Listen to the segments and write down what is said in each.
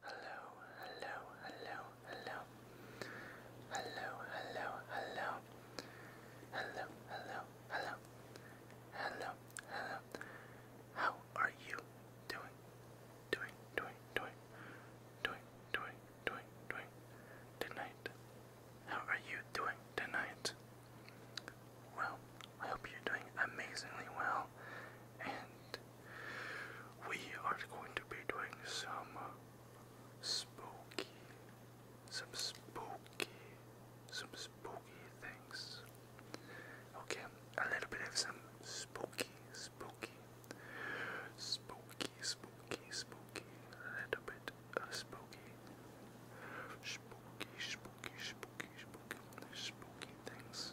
Hello, hello, hello, hello. Hello, hello, hello. Hello, hello, hello. Hello, hello. How are you doing? Doing, doing, doing. Doing, doing, doing, doing. Tonight. How are you doing tonight? Well, I hope you're doing amazingly well and we are going to be doing some spooky, some spooky, some spooky things. Okay, a little bit of some spooky, spooky, spooky, spooky, spooky, a little bit of spooky, spooky, spooky, spooky, spooky, spooky things.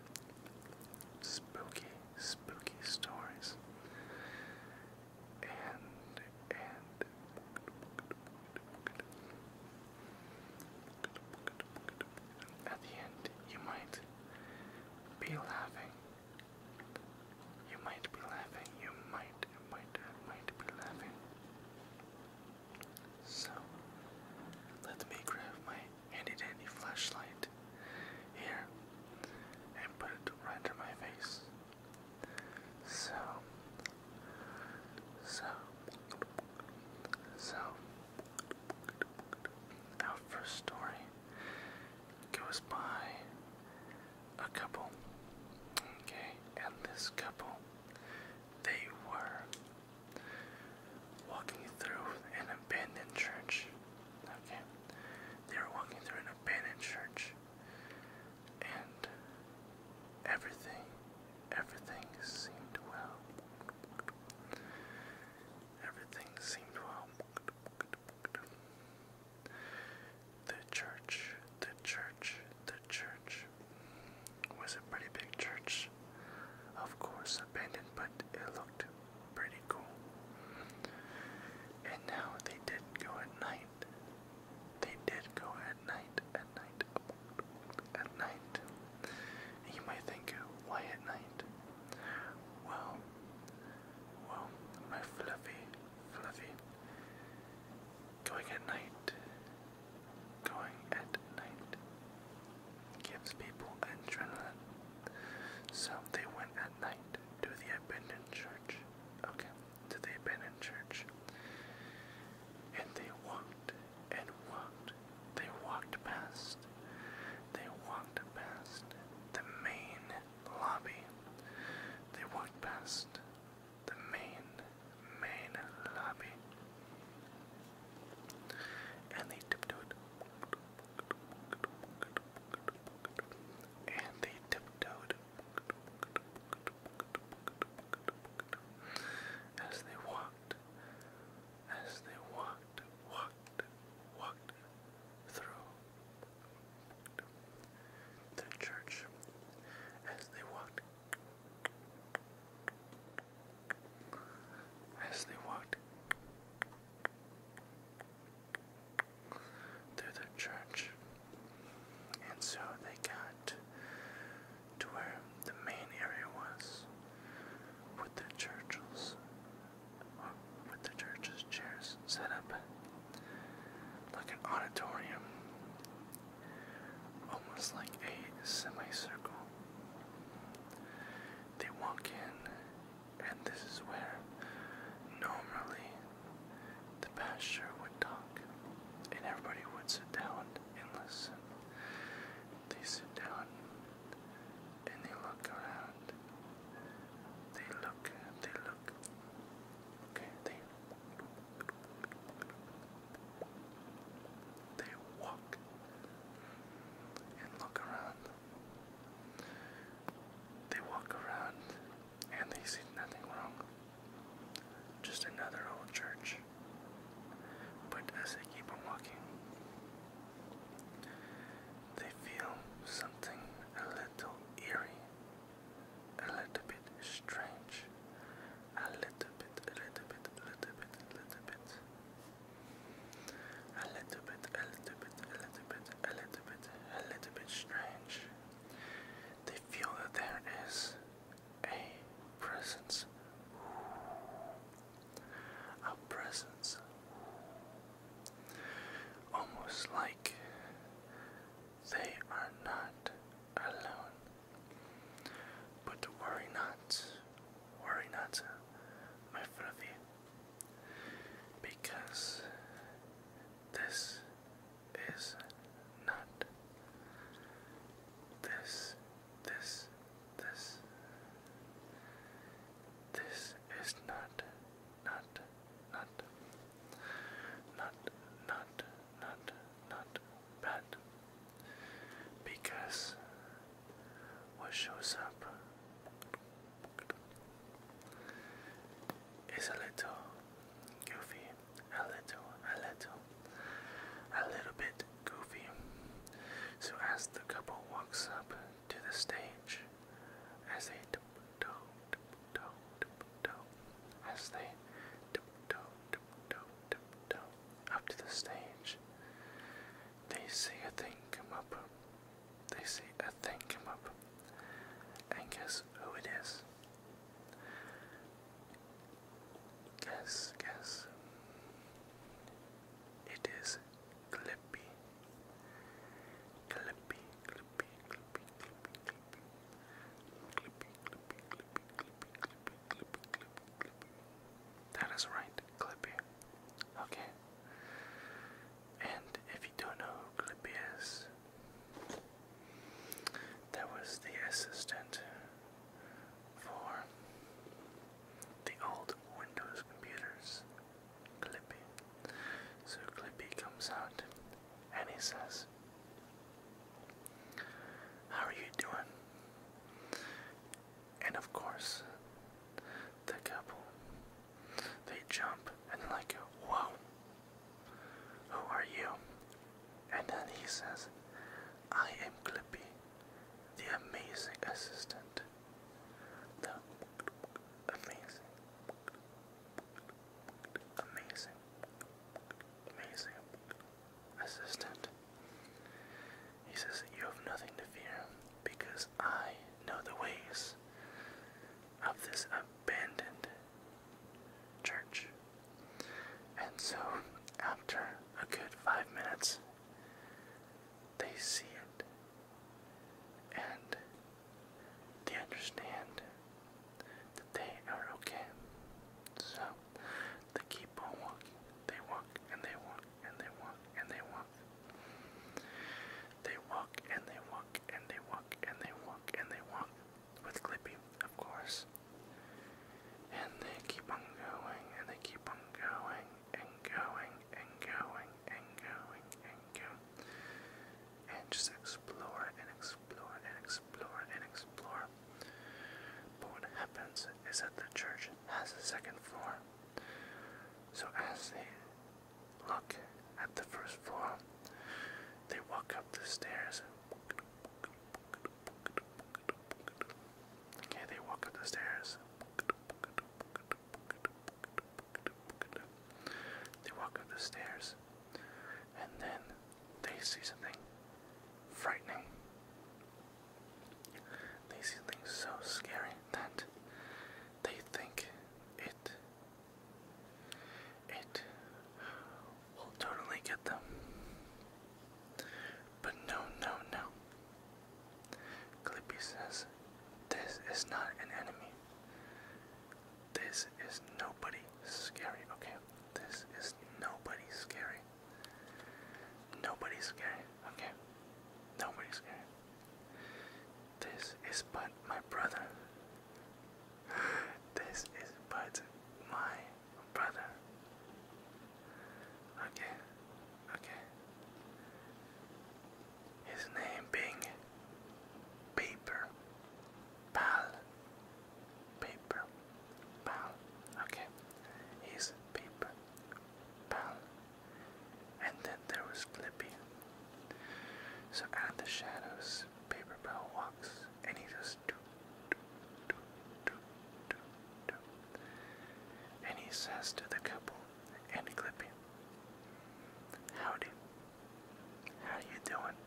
Spooky, spooky stories. And, and. At the end, you might be laughing. You might be laughing. You might, might, might be laughing. So, let me grab my handy dandy flashlight here and put it right under my face. So, so, so, our first story goes by a couple, okay, and this couple, they were walking through an abandoned church. Okay, they were walking through an abandoned church, and everything, everything seemed well. Everything seemed well. The church, the church, the church was a pretty big church. Of course, was but it looked pretty cool. And now they did go at night. They did go at night, at night, at night. you might think, why at night? Well, well, my fluffy, fluffy. Going at night. Going at night gives people adrenaline. So they went at night to the abandoned church. Okay, to the abandoned church. And they walked and walked. They walked past. They walked past the main lobby. They walked past the main, main lobby. And they tiptoed, and they tiptoed as they walked, as they walked, walked, walked through the church, as they walked, as they walked, through the church. And so they got to where the main area was with their churches or with the church's chairs set up like an auditorium almost like a semicircle. They walk in and this is where normally the pasture would talk, and everybody would sit down and listen. They sit down and they look around. They look, they look. Okay, they they walk and look around. They walk around and they see nothing wrong. Just another old church. But as they keep on walking, they feel something a little eerie, a little bit strange, a little bit, a little bit, a little bit, a little bit. A little bit, a little bit, a little bit, a little bit, a little bit strange. They feel that there is a presence. A presence. Almost like they are not alone. But worry not, worry not, my fluffy because this is not this this this this is not not not not not not not bad because what shows up is a little goofy, a little, a little, a little bit goofy. So as the couple walks up to the stage, as they tiptoe, tiptoe, tiptoe, as they tiptoe, tiptoe, tiptoe up to the stage, they see a thing come up. They see a thing come up. And guess who it is? Guess, guess. It is Clippy. Clippy, Clippy, Clippy, Clippy, Clippy. Clippy, Clippy, Clippy, Clippy, Clippy, Clippy, Clippy, Clippy. That is right, Clippy. Okay, and if you don't know who Clippy is, that was the assistant for the old Windows computers, Clippy. So Clippy comes out and he says, How are you doing? and of course, the couple. They jump and like, whoa, who are you? And then he says, I am Clippy, the amazing assistant. The amazing, amazing, amazing assistant. He says, You have nothing to fear because I know the ways of this abandoned church. And so, after a good five minutes, they see it and they understand that they are okay. So, they keep on walking. They walk and they walk and they walk and they walk. They walk and they walk and they walk and they walk and they walk with Clippy, of course. And they keep on going and they keep on going and going and going and going and going. And just explore and explore and explore and explore. But what happens is that the church has a second floor. So as they look at the first floor, they walk up the stairs. Okay, they walk up the stairs. They walk up the stairs, and then they see something frightening. They see things so scary that they think it it will totally get them. But no, no, no. Clippy says, This is not an enemy. This is nobody scary, okay? This is nobody scary. Nobody's scary, okay? Nobody's scary. This is but my brother. This is but my brother. Okay, okay. His name being Paper Pal. Paper Pal. Okay. He's Paper Pal. And then there was Clippy. So out of the shadows, Paper Bell walks and he just do, do, do, do, do, do. And he says to the couple and Clippy, Howdy. How you doing?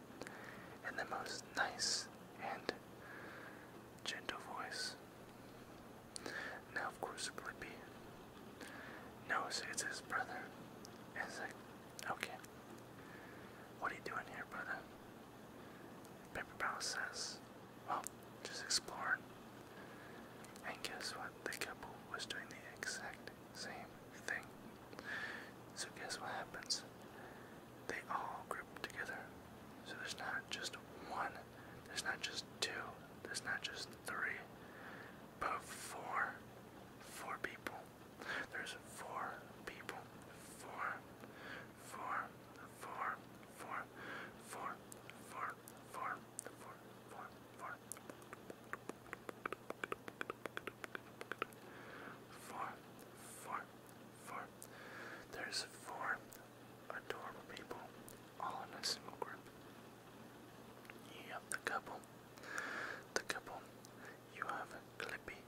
In the most nice and gentle voice. Now, of course, Blippi knows it's his brother. And he's like, okay, what are you doing here, brother? Paper Pal says, well, just exploring. And guess what? The couple was doing the exact same thing. So, guess what happens? They all group together. So, there's not just one there's not just two, there's not just three, but four. Four people. There's four people. Four. Four. Four. Four. Four. Four. Four. Four. Four. Four. Four. Four. There's four adorable people all in a single group. You have the couple, the couple, you have Clippy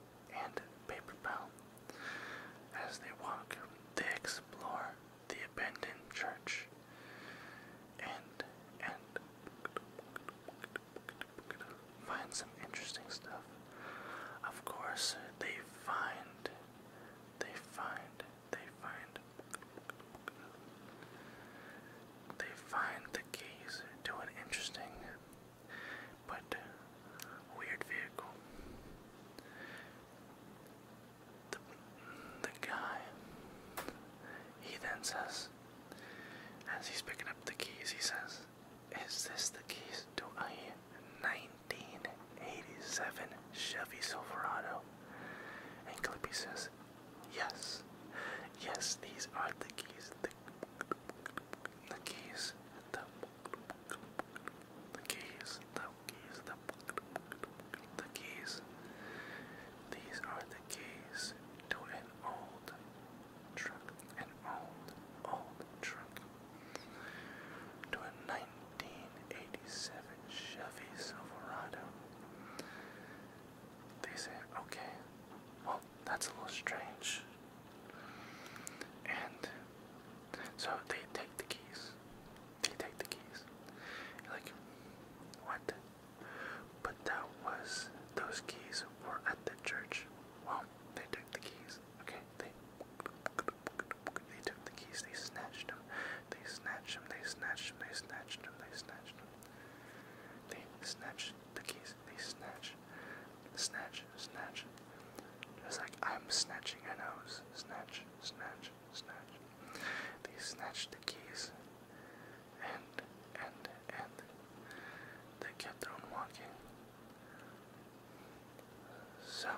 and Paper Pal. As they walk, they explore the abandoned church and and find some interesting stuff. Of course, they find they find they find they find the keys to an interesting but weird vehicle. The, the guy he then says as he's picking up the keys he says is this the keys to a 1987 Chevy Silverado and Clippy says, Yes, yes, these are the keys, the, the keys, the, keys, the keys, the, keys. These are the keys to an old truck, an old, old truck, to a 19 1987 Chevy Silverado. They say, okay, well, that's a little strange. And so they take the keys. They take the keys. like, what? But that was, those keys were at the church. Well, they took the keys. Okay, they, they took the keys, they snatched them. They snatched him, they snatched him, they snatched him, they snatched him. They snatched the keys, they snatch, snatch, snatch. Just like I'm snatching a nose. Snatch, snatch, snatch. They snatched the keys. And, and, and. They kept on walking. So,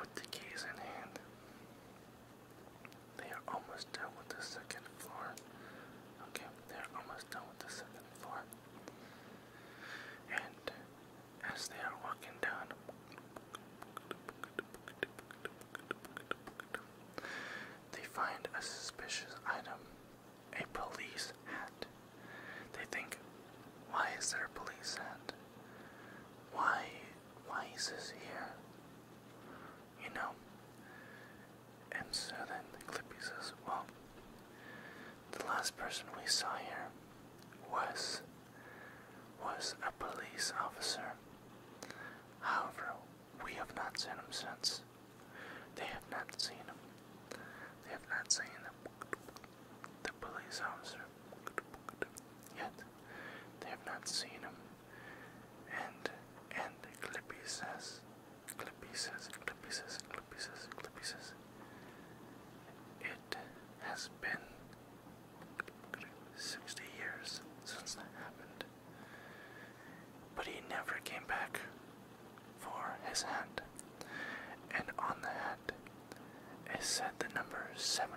with the keys in hand, they are almost done with the second floor. Okay, they're almost done with the second floor. And as they are walking down, they find a suspicious item a police hat. They think, why is there a police hat? Why, why is this here? you know. And so then Clippy says, Well, the last person we saw here was was a police officer. However, we have not seen him since. They have not seen him. They have not seen the, police officer yet. They have not seen him and and Clippy says, Clippy says, Clippy says, Clippy says, Clippy says, it has been 60 years since that happened, but he never came back for his hat, and on the hat is said the number 17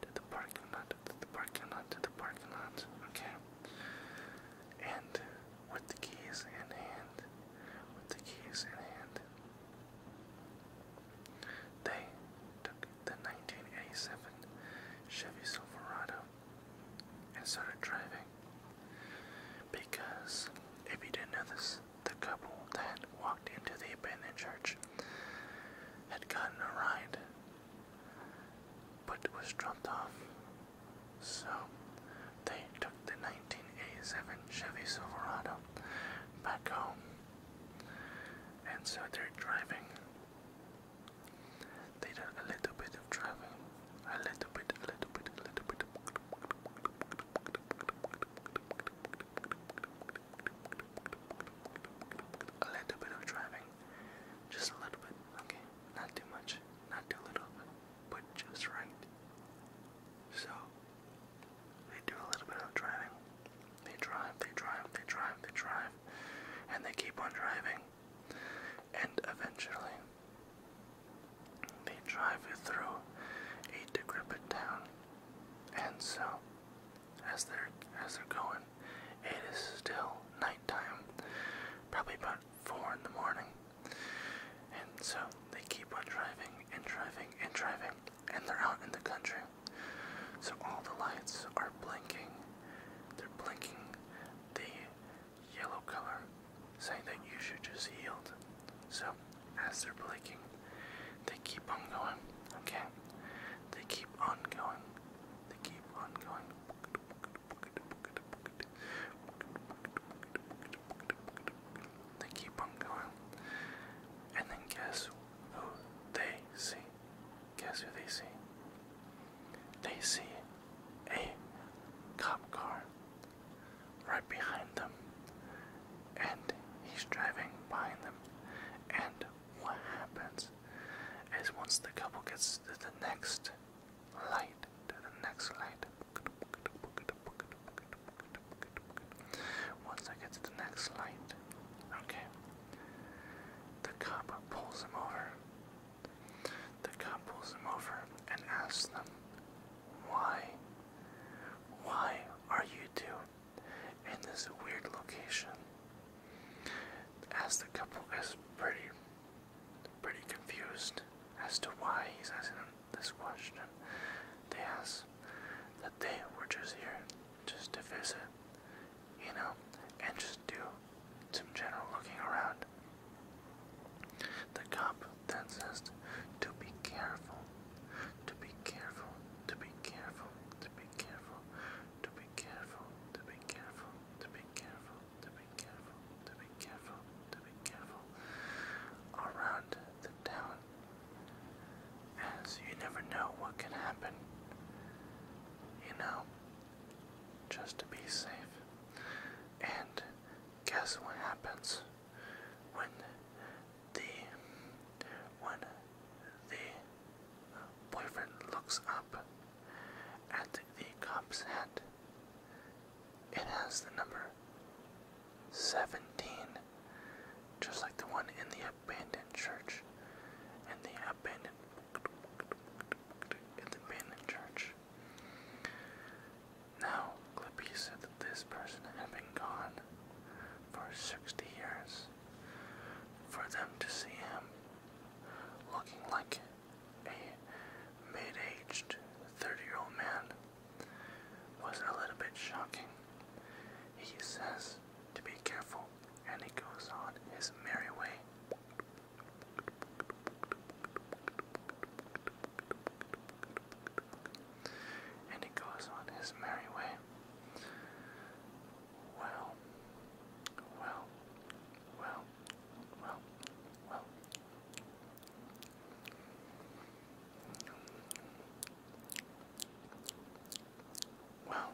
to the parking lot, to the parking lot, to the parking lot, okay? And with the keys in hand, with the keys in hand, they took the 1987 Chevy Silverado and started driving. Because, if you didn't know this, the couple then walked into the abandoned church had gotten a ride but was dropped off. So they took the 1987 Chevy Silverado back home. And so they're driving. They did a little bit of driving. A little bit, a little bit, a little bit. A little bit of driving. Just a little bit, okay? Not too much, not too little, but just right. So, they do a little bit of driving. They drive, they drive, they drive, they drive, and they keep on driving. And eventually, they drive through a decrepit town. And so, as they're as they're going. It is still nighttime, probably about four in the morning. And so they keep on driving and driving and driving, and they're out in the country. So all the lights are blinking. They're blinking the yellow color, saying that you should just yield. So as they're blinking, they keep on going, okay? They keep on going. They keep on going. They keep on going. And then guess who they see? Guess who they see? They see a cop car right behind them. And he's driving behind them. And what happens is once the couple gets to the next light, to the next light, once I get to the next light, okay, the cop pulls them over. The cop pulls them over and asks them, Why? Why are you two in this weird location. As the couple is pretty pretty confused as to why he's asking them this question, they ask that they were just here just to visit, you know, and just do some general looking around. The cop then says to be careful, to be careful, to be careful, to be careful careful, to be careful, to be careful, to be careful, to be careful, to be careful, to be careful around the town, as you never know what can happen. You know, just to be safe. And guess what happens when the when the Boyfriend looks up at the cop's hat. It has the number 17, just like the one in the abandoned church. In the abandoned, in the abandoned church. Now, Clippy said that this person had been gone for 60 years for them to see him looking like a mid aged 30 year old man was a little bit shocking. He says to be careful and he goes on his merry way. And he goes on his merry way well, well, well, well, well. Well,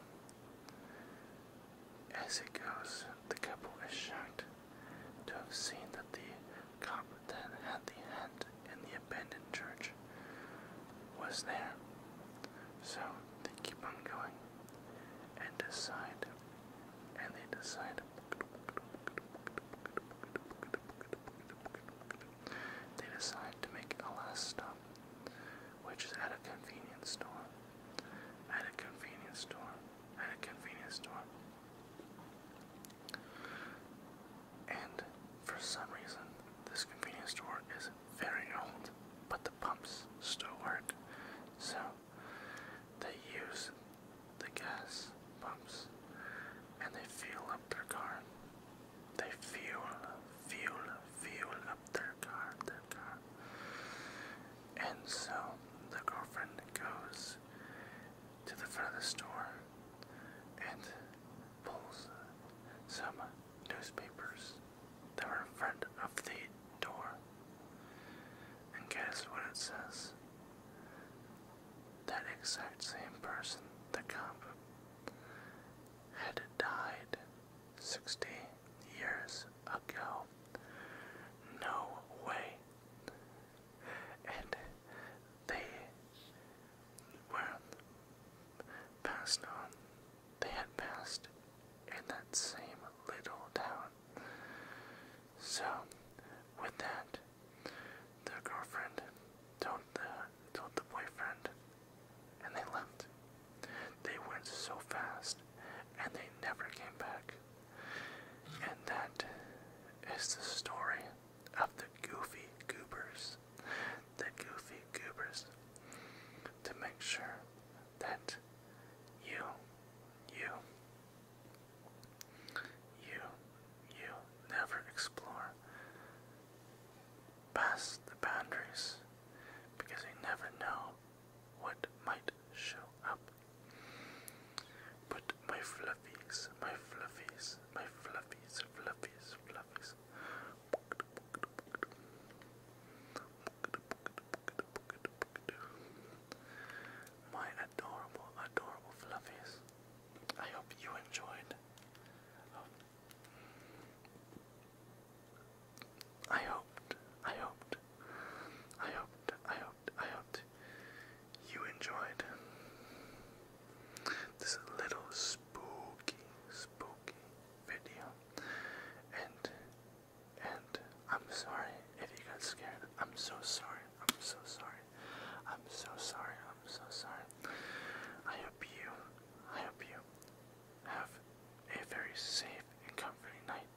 as it goes, the couple is shocked to have seen that the cop that had the hand in the abandoned church was there so they keep on going and decide, and they decide. They decide to make a last stop, which is at a convenience store. At a convenience store. At a convenience store. And for some reason, this convenience store is not very old, but the pumps still work. So they use the gas pumps and they fuel up their car. They fuel, fuel, fuel up their car, their car. And so the girlfriend goes to the front of the store and pulls some newspapers that were in front of the door. And guess what it says? That exact same person, the cop, had died 60 years ago. No way. And they were passed on they had passed in that same little town. So, with that, the girlfriend told the told the boyfriend, and they left. They went so fast, and they never came back. And that is the story of the Goofy Goobers the goofy goobers, to make sure that you, you, you, you never explore past the boundaries because you never know what might show up. But my fluffies, my fluffies, my fluffies, fluffies, fluffies, my adorable, adorable fluffies. I hope you enjoyed. I hoped, I hoped, I hoped, I hoped, I hoped you enjoyed this little spooky, spooky, video. And and I'm sorry if you got scared. I'm so sorry. I'm so sorry. I'm so sorry. I'm so sorry. I hope you I hope you have a very safe and comforting night.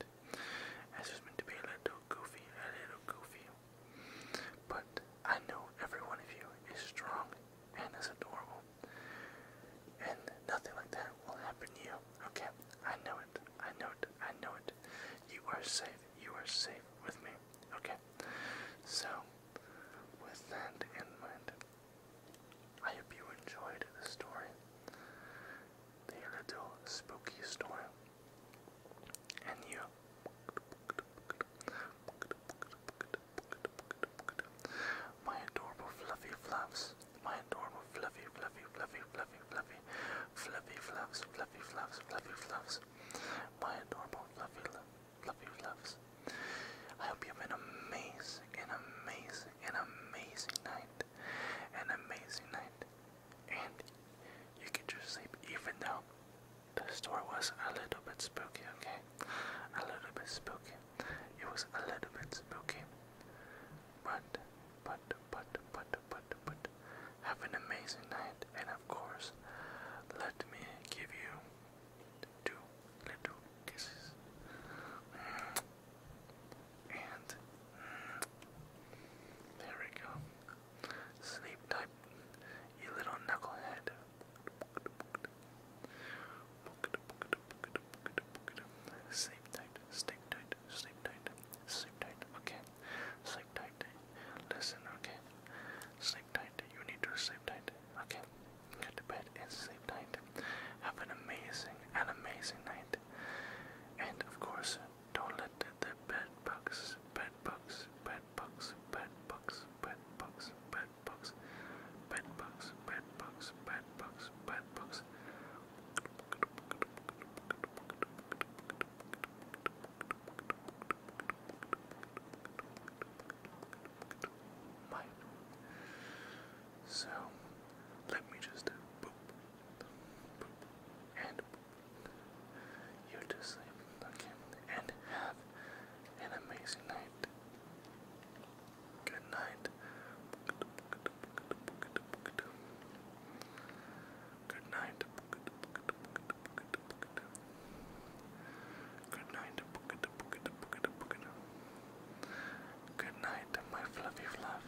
As it's meant to be a little goofy, a little goofy. But I know every one of you is strong and is adorable. And nothing like that will happen to you. Okay? I know it. I know it. I know it. You are safe. You are safe with me. Okay? So, with that in mind, I hope you enjoyed the story. The little spooky story. And you my adorable fluffy fluffs. My adorable fluffy, fluffy, fluffy, fluffy, fluffy, fluffy fluffs, fluffy fluffs, fluffy fluffs. My adorable fluffy, fluffy fluffs. I hope you have an amazing, an amazing, an amazing night, an amazing night, and you get your sleep even though the store was a little bit spooky. Okay, a little bit spooky. It was a little bit spooky. But, but, but, but, but, but, have an amazing night, and of course, let me give you two little kisses. And there we go. Sleep tight, you little knucklehead. Sleep tight, sleep tight, sleep tight, sleep tight, okay. Sleep tight. Listen, okay. Sleep tight. You need to sleep tight. Okay. Get to bed and sleep tight. Have an amazing, an amazing night. And of course, don't let the, the bed bugs, bed bugs, bed bugs, bed bugs, bed bugs, bed bugs, bugs, bed bugs, bed bugs, bed bugs. So let me just boop, and you to sleep, okay, and have an amazing night. Good night. Good night. Good night. my fluffy fluff.